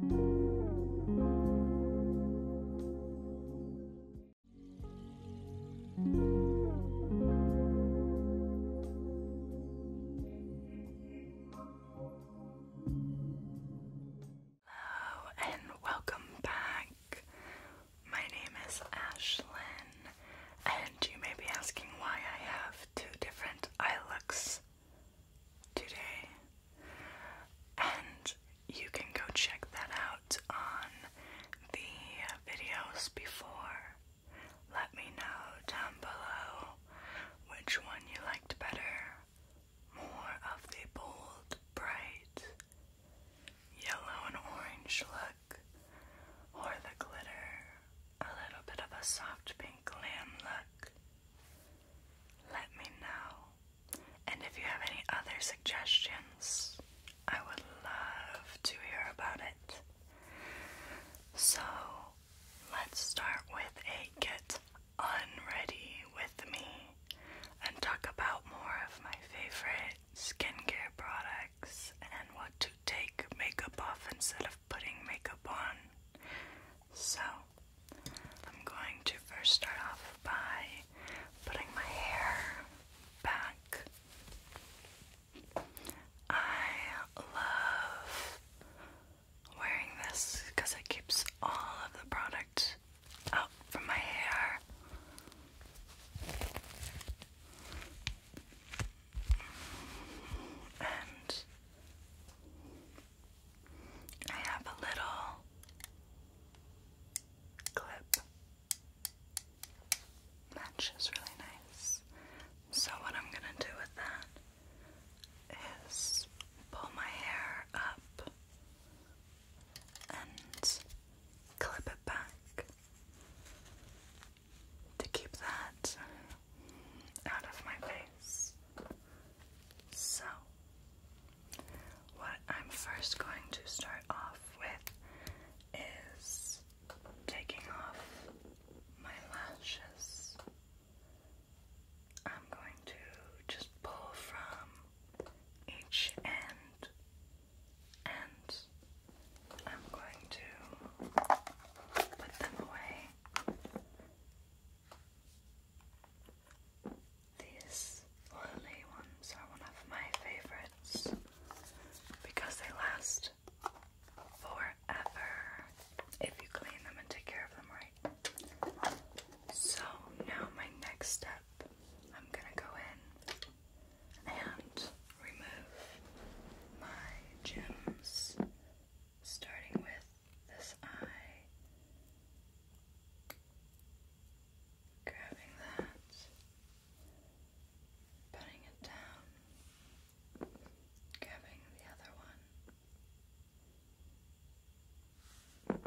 Hello and welcome back. My name is Ashlyn, and you may be asking why I have two different eye looks today. And you can go check that out on the videos before. Let me know down below which one you liked better. More of the bold, bright, yellow and orange look, or the glitter, a little bit of a soft pink glam look. Let me know. And if you have any other suggestions, I would love to hear about it. So let's start with a get unready with me and talk about more of my favorite skincare products and what to take makeup off instead of putting makeup on. So, I'm going to first start off by putting my hair back. I love wearing this because it keeps all of the product out from my hair. And I have a little clip. Matches really nice. So, what I'm gonna do with that is pull my hair up and clip it back to keep that out of my face. So, what I'm first going to start off with is taking off my lashes. I'm going to just pull from each end and I'm going to put them away. These lily ones are one of my favorites because they last forever if you clean them and take care of them right. So now my next step I'm gonna go in and remove my gems, starting with this eye, grabbing that, putting it down, grabbing the other one.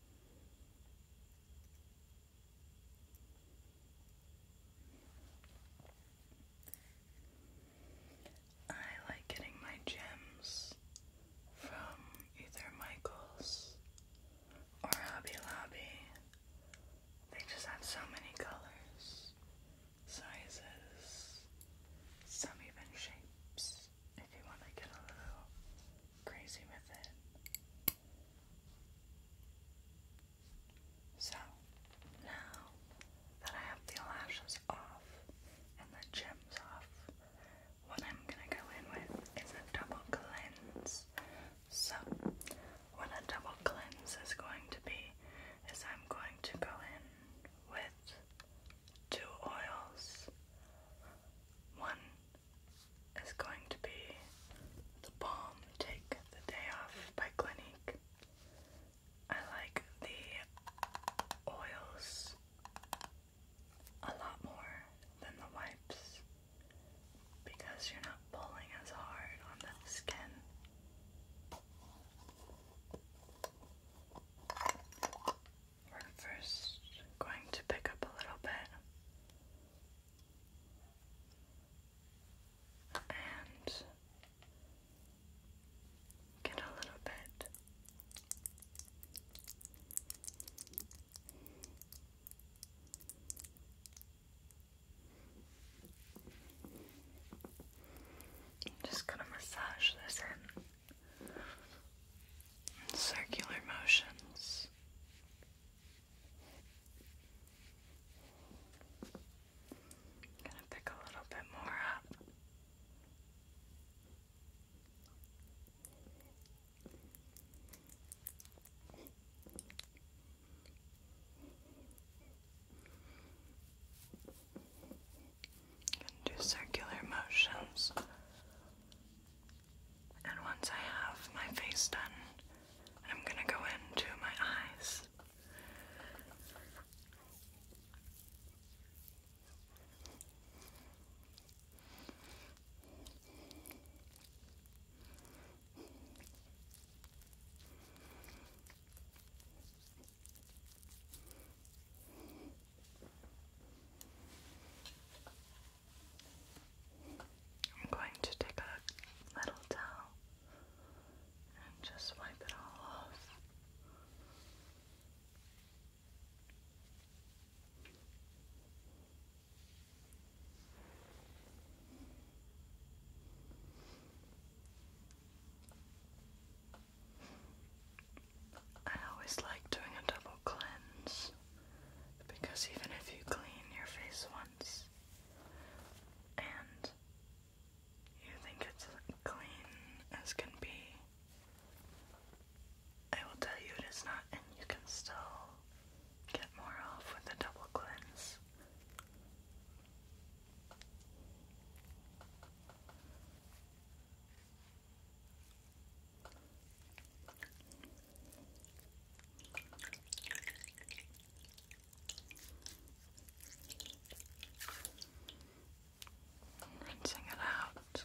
I like getting my gems from either Michaels or Hobby Lobby. They just have so many colors, sizes, some even shapes if you want to get a little crazy with it. So, now that I have the lashes off and the gems off, what I'm going to go in with is a double cleanse. So, what a double cleanse is going to be is I'm going to go in with two oils. One is going to be the balm Take the Day Off by Clinique. I like the oils a lot more than the wipes because you're not pulling as hard on the skin. We're first going to pick up a little bit and get a little bit. I'm just gonna massage this in circular motions. gonna pick a little bit more up and do circular motions. And once I have my face done, I'm gonna go into my eyes. I'm going to take a little towel and just wipe it all off. I always like doing a double cleanse because even if you clean your face once and you think it's clean as can be, I will tell you it is not, and you can still get more off with a double cleanse. Rinsing it out.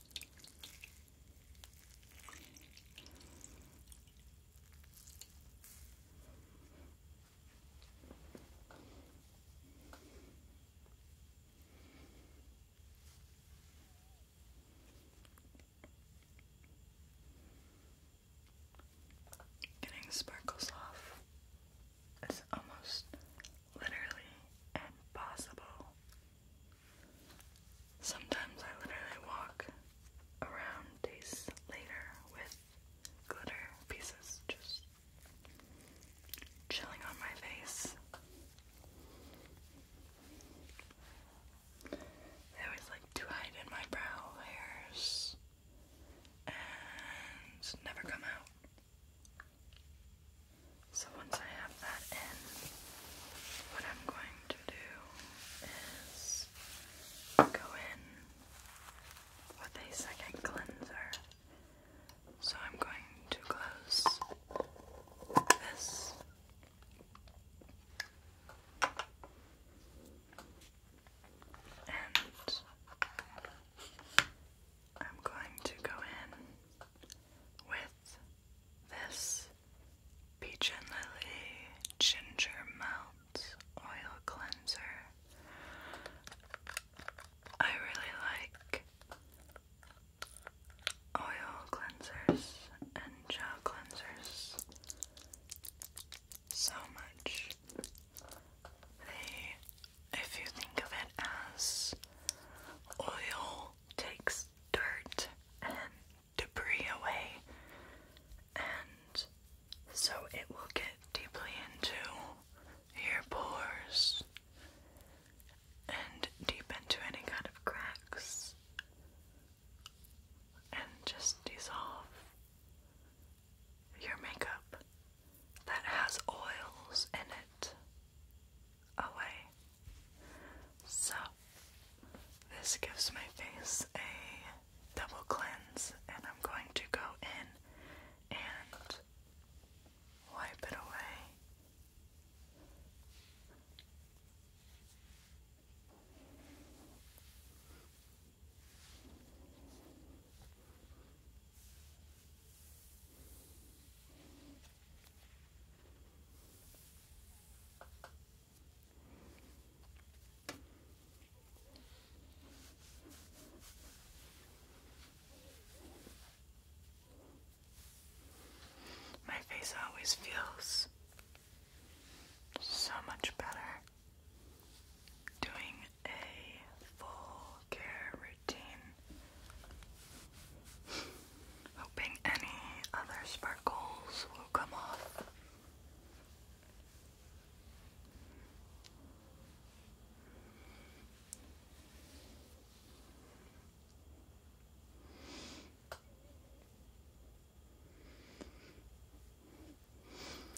Getting sparkles off It's almost literally impossible. Sometimes I literally walk around days later with glitter pieces just chilling on my face. They always like to hide in my brow hairs and never come out. So once I have that in, what I'm going to do is go in with a second cleanser. So I'm going to close this. And I'm going to go in with this Peach and Lily Ginger Melt Oil Cleanser. I really like oil cleansers and gel cleansers so much. They if you think of it as oil takes dirt and debris away, and so it will get deeply into your pores and deep into any kind of cracks and just dissolve your makeup that has oils in it away. So, this gives my face a double cleanse, and I'm going to go in and wipe it away. My face always feels so much better doing a full care routine Hoping any other sparkles will come off.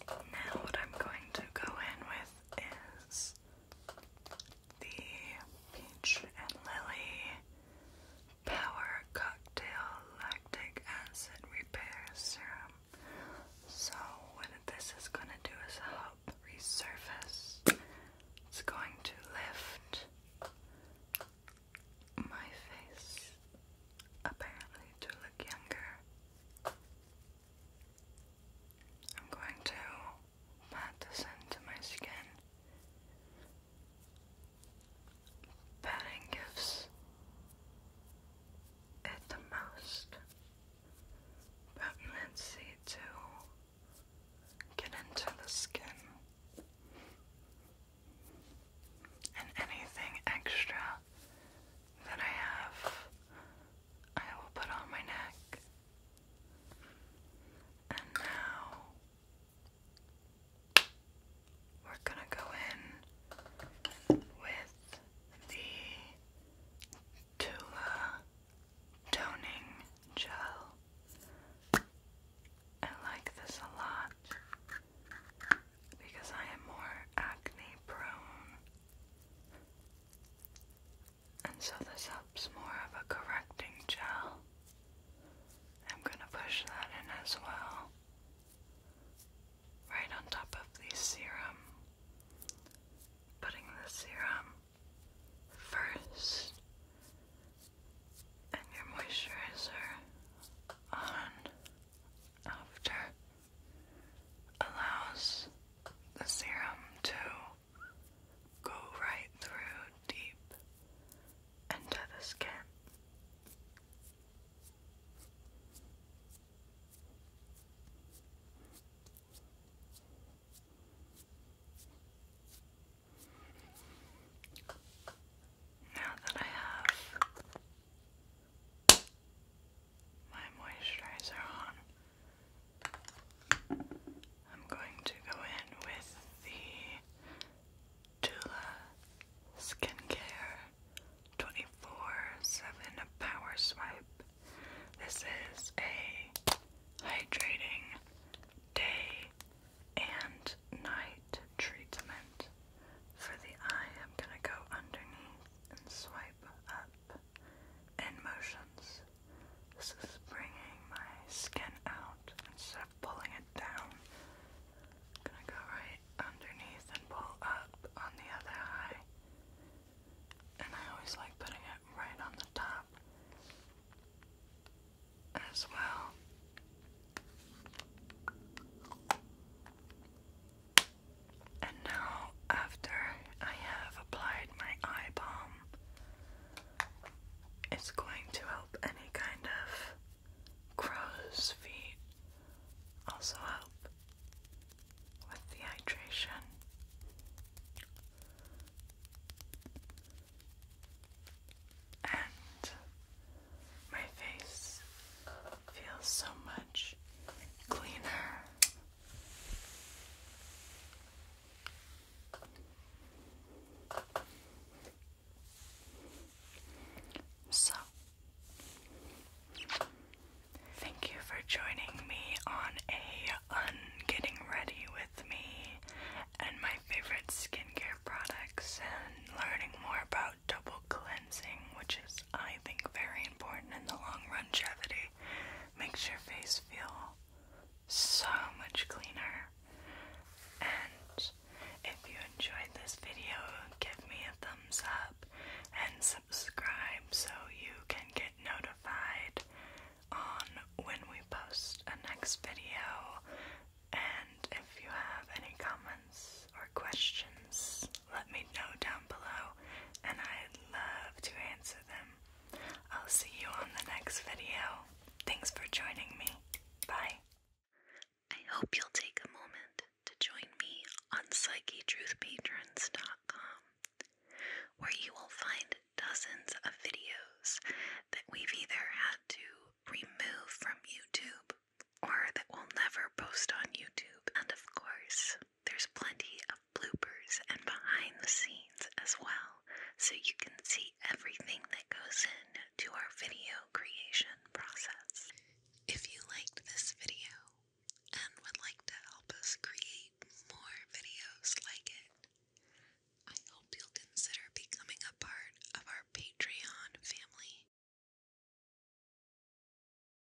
Now, what I'm going to go in with is the Peach and Lily Power Cocktail Lactic Acid Repair Serum. So, what this is going to do is help resurface. It's going to lift my face, apparently, to look younger. I'm going to pat this into my skin. Patting gives it the most, potency to get into the skin. And anything extra that I have I will put on my neck. And now we're going to go in with the Tula toning gel. I like this a lot because I am more acne prone. And so this helps more of a correcting gel. I'm going to push that in as well. Right on top of the serum. Putting the serum first and your moisturizer on after allows the serum to go right through deep into the skin. Now that I have my moisturizer on, I'm going to go in with the Tula Skincare 24 7 Power Swipe. This is a hydrating day and night treatment. For the eye, I'm going to go underneath and swipe up and motions. This is bringing my skin out instead of pulling it down. gonna go right underneath and pull up on the other eye. And I always like putting it right on the top as well. And now, after I have applied my eye balm, it's going to help any kind of crow's feet also help with the hydration. And my face feels so much cleaner so, thank you for joining me on a un getting ready with me and my favorite skincare products and learning more about double cleansing, which is I think very important in the long longevity. Makes your face feel so much cleaner. And if you enjoyed this video, give me a thumbs up and subscribe so you can get notified on when we post a next video. And if you have any comments or questions, let me know down below and I'd love to answer them. I'll see you on the next video. Thanks for joining me. Bye. I hope you'll take a moment to join me on PsycheTruthPatrons.com, where you will find dozens of videos that we've either had to remove from YouTube or that we'll never post on YouTube, and of course, there's plenty of bloopers and behind the scenes as well, so you can see everything that goes in to our video creation process. If you liked this video and would like to help us create more videos like it, I hope you'll consider becoming a part of our Patreon family.